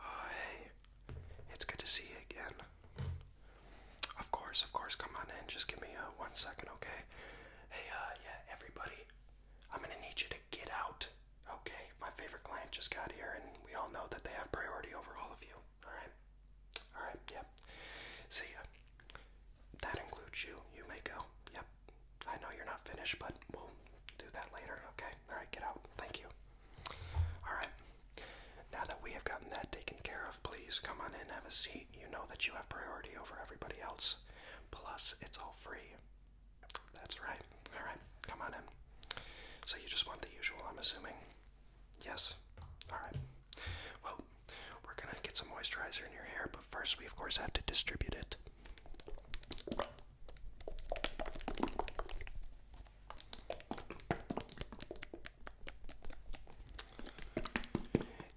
Oh, hey, it's good to see you again. Of course, of course, come on in. Just give me a uh, one second, okay? Hey, uh, yeah, everybody, I'm gonna need you to get out, okay? My favorite client just got here, and we all know that they have priority over all of you, alright? Alright, yeah. See ya. That includes you. You may go. Yep. I know you're not finished, but we'll do that later. Okay. All right, get out. Thank you. All right. Now that we have gotten that taken care of, please come on in, have a seat. You know that you have priority over everybody else. Plus, it's all free. That's right. All right. Come on in. So you just want the usual, I'm assuming. Yes. All right. Well, we're gonna get some moisturizer in your hair, but first we of course have to distribute it.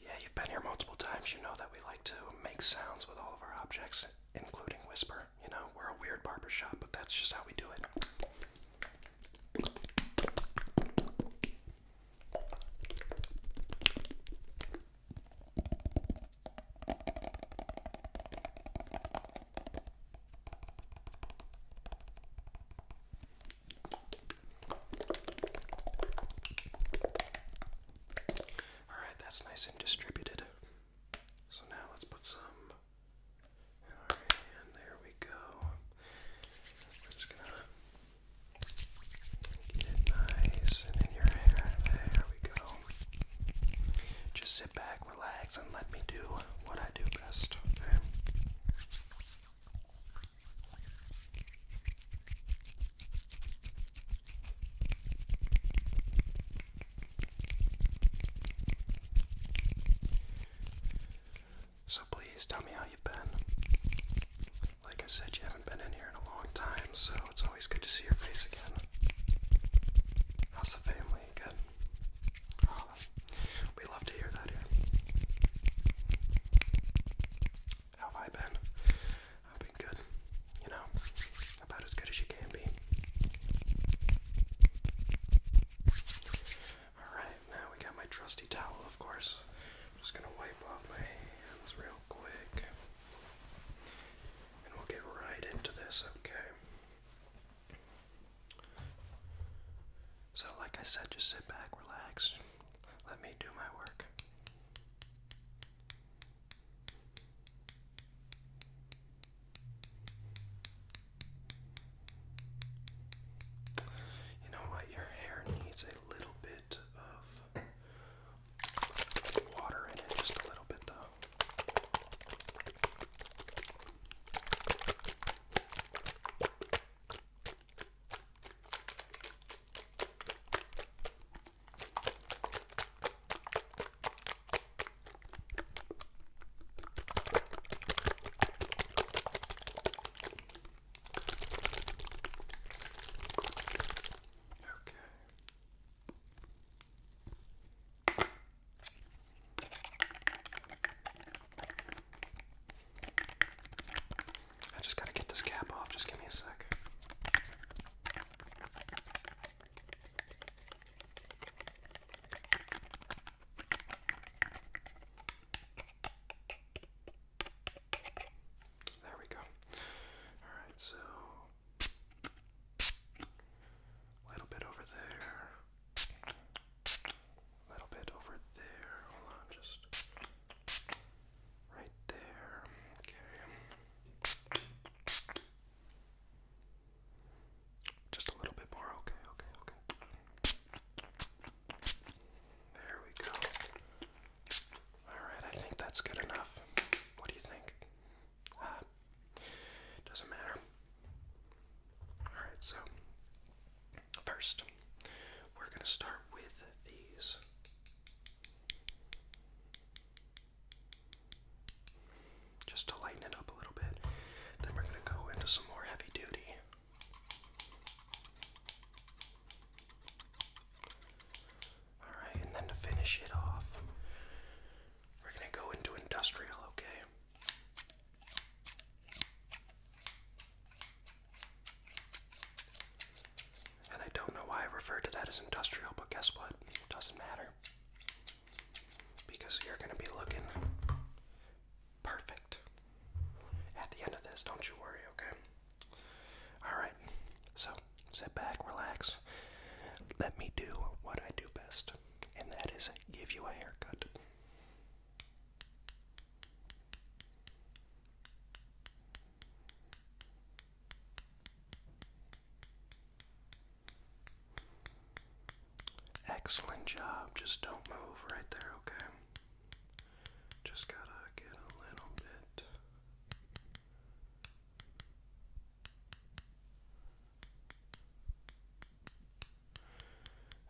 Yeah, you've been here multiple times. You know that we like to make sounds with all of our objects, including whisper. You know, we're a weird barbershop, but that's just how we do it. Alright, that's nice and distributed. So now let's put some in our There we go. We're just gonna Get it nice and in your hair. There we go. Just sit back, relax, and let me do what I do best, okay? So please tell me how you've been. Like I said, you haven't been in here in a long time, so it's always good to see your face again. How's the family? Good? Ah, we love to hear that here. How have I been? I've been good. You know, about as good as you can be. Alright, now we got my trusty towel, of course. I'm just gonna wipe off my hands real quick. And we'll get right into this, okay? So, like I said, just sit back, relax, let me do my work. You know what? Your hair needs a little bit of water in it, just a little bit though. Okay. I just gotta get this cap off, just give me a sec. There we go. Alright, so little bit over there. little bit over there. Hold on, just right there. Okay. Just a little bit more. Okay, okay, okay. There we go. Alright, I think that's good enough. What do you think? Ah, doesn't matter. Alright, so first, we're going to start with these. Just to lighten it up a little bit. Then we're going to go into some more heavy duty Alright, and then to finish it off, we're going to go into industrial, okay? And I don't know why I referred to that as industrial, but guess what? It doesn't matter. Because you're going to be looking Perfect. At the end of this, don't you worry, okay? Alright, so sit back, relax. Let me do what I do best, and that is give you a haircut. Excellent job. Just don't move right there, okay? Just gotta get a little bit.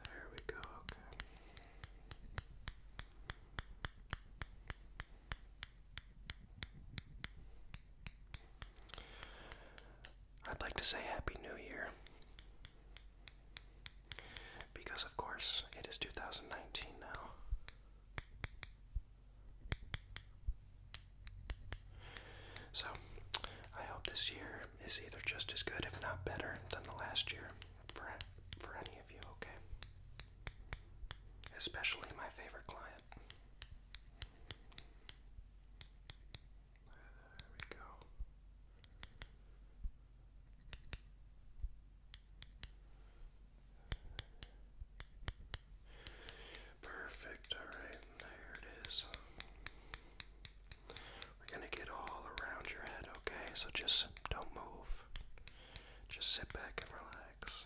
There we go, okay. I'd like to say Happy New Year. Because, of course, it is 2019 now. So, I hope this year is either just as good, if not better, than the last year for, for any of you, okay? Especially my favorite client. There we go. Perfect, alright, there it is. We're gonna get all around your head, okay? So just don't move. Just sit back and relax.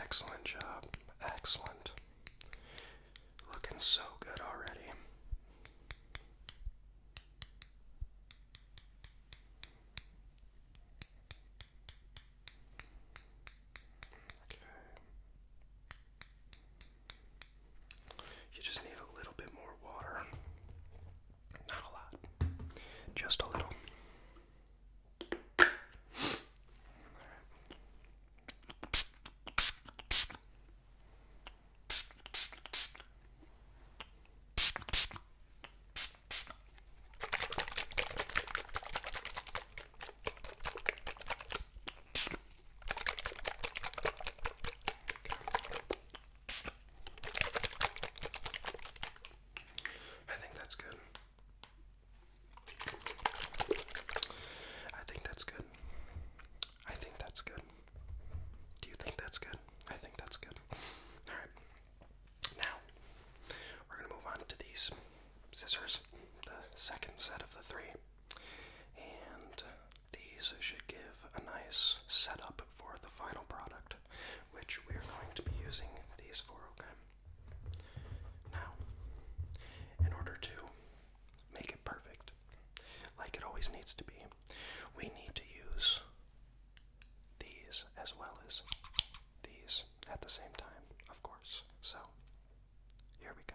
Excellent job. Excellent. Looking so good already. Okay. You just need a little bit more water. Not a lot. Just a little. I think that's good. I think that's good. I think that's good. Do you think that's good? I think that's good. Alright. Now, we're going to move on to these scissors, the second set of the three. And these should give a nice setup for the final product, which we're going to be using these for, okay? Now, in order to make it perfect, like it always needs to be, we need to use these as well as these at the same time, of course. So, here we go.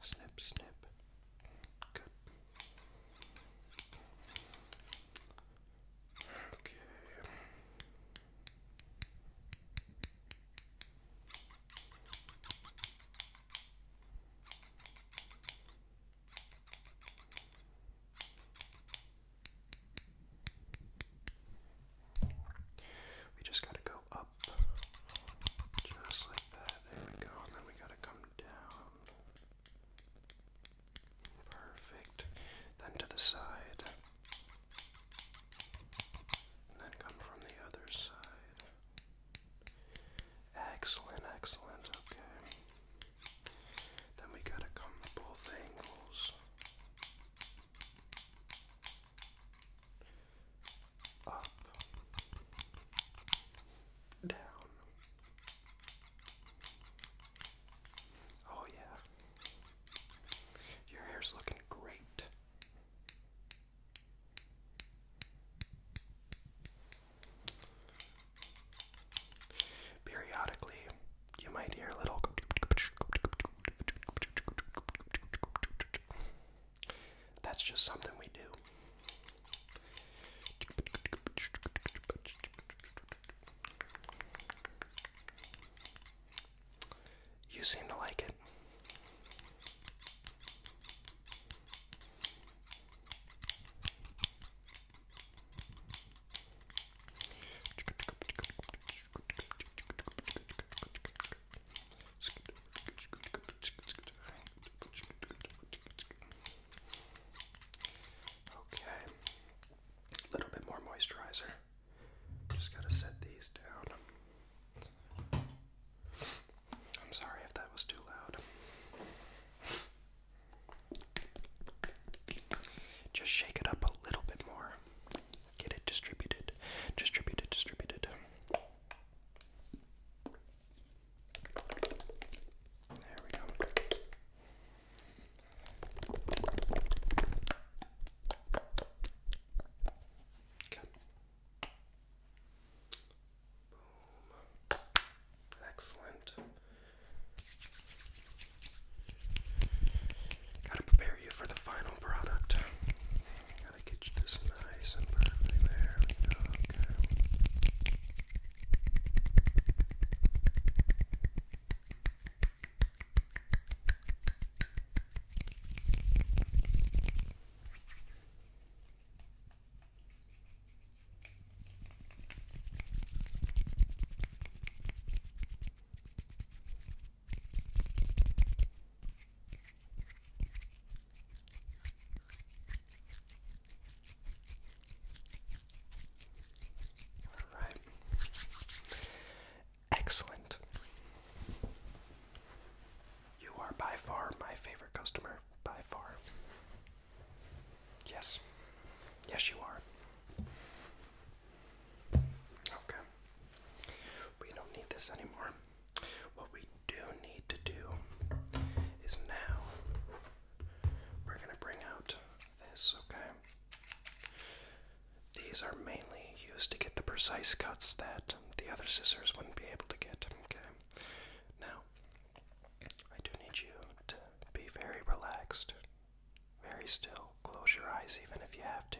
Snip, snip. Good. Okay. We just got to go up just like that. There we go. then we gotta come down. Perfect. Then to the side. then come from the other side. Excellent, excellent. Okay. Then we gotta come both angles up, down. Oh, yeah. Your hair's looking great. Periodically, you might hear a little that's just something we do. You seem to like it. Okay. A little bit more moisturizer. Just gotta set these down. I'm sorry if that was too loud. Just shake it up a little bit more. Get it distributed, distributed, distributed. There we go. Okay. Boom. Excellent. Gotta prepare you for the final product. Gotta get you this nice and perfectly. There we go. Excellent. You are by far my favorite customer. By far. Yes. Yes, you are. Okay. We don't need this anymore. What we do need to do is now we're going to bring out this, okay? These are mainly used to get the precise cuts that the other scissors wouldn't be able to get, okay? Now, I do need you to be very relaxed very still. Close your eyes even if you have to,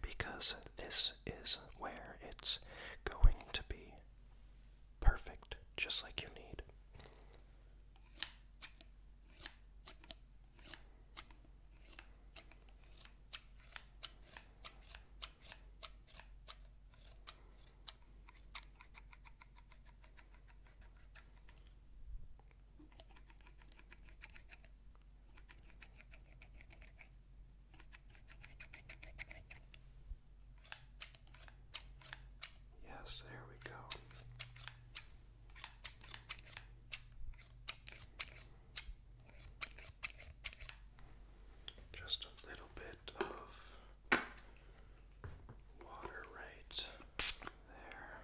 because this is where it's going to be perfect, just like you need. Yes, there we go. Just a little bit of water right there.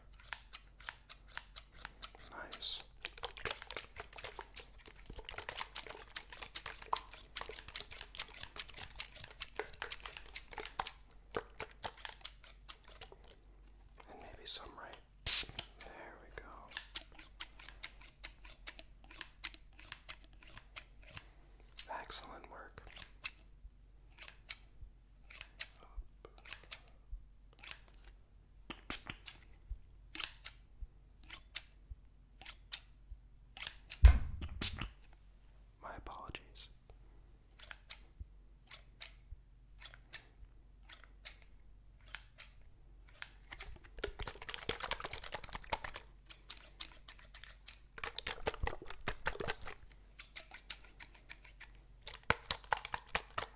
Nice. And maybe some right. There we go. Excellent work. My apologies.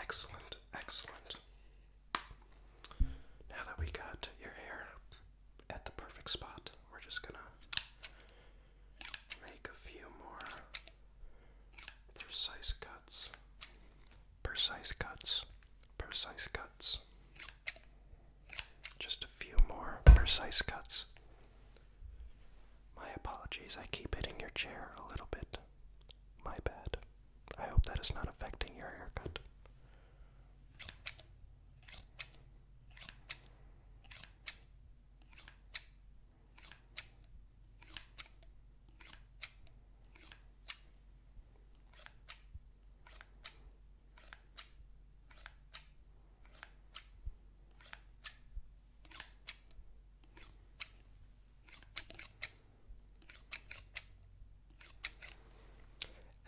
Excellent, excellent. Now that we got your hair at the perfect spot, we're just gonna make a few more precise cuts. Precise cuts. Precise cuts. Just a few more precise cuts. My apologies, I keep hitting your chair a little bit. My bad. I hope that is not affecting your haircut.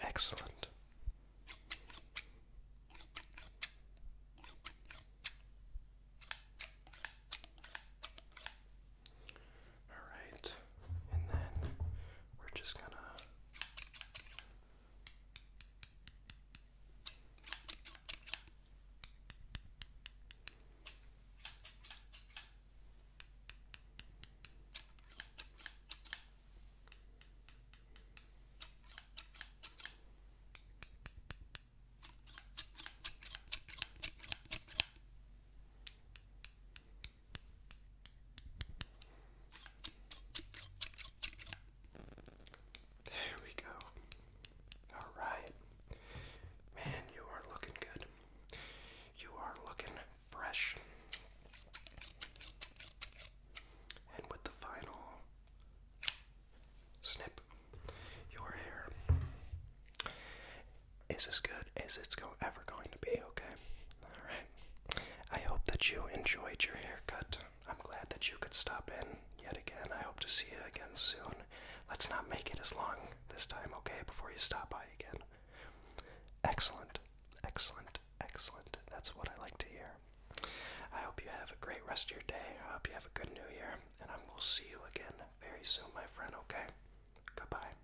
Excellent. All right. And then we're just gonna there we go. All right. Man, you are looking good. You are looking fresh. And with the final snip, your hair is as good as it's ever going to be, okay? Alright. I hope that you enjoyed your haircut. I'm glad that you could stop in yet again. I hope to see you again soon. Let's not make it as long this time, okay, before you stop by again. Excellent. Excellent. Excellent. That's what I like to hear. I hope you have a great rest of your day. I hope you have a good new year, and I will see you again very soon, my friend, okay? Goodbye.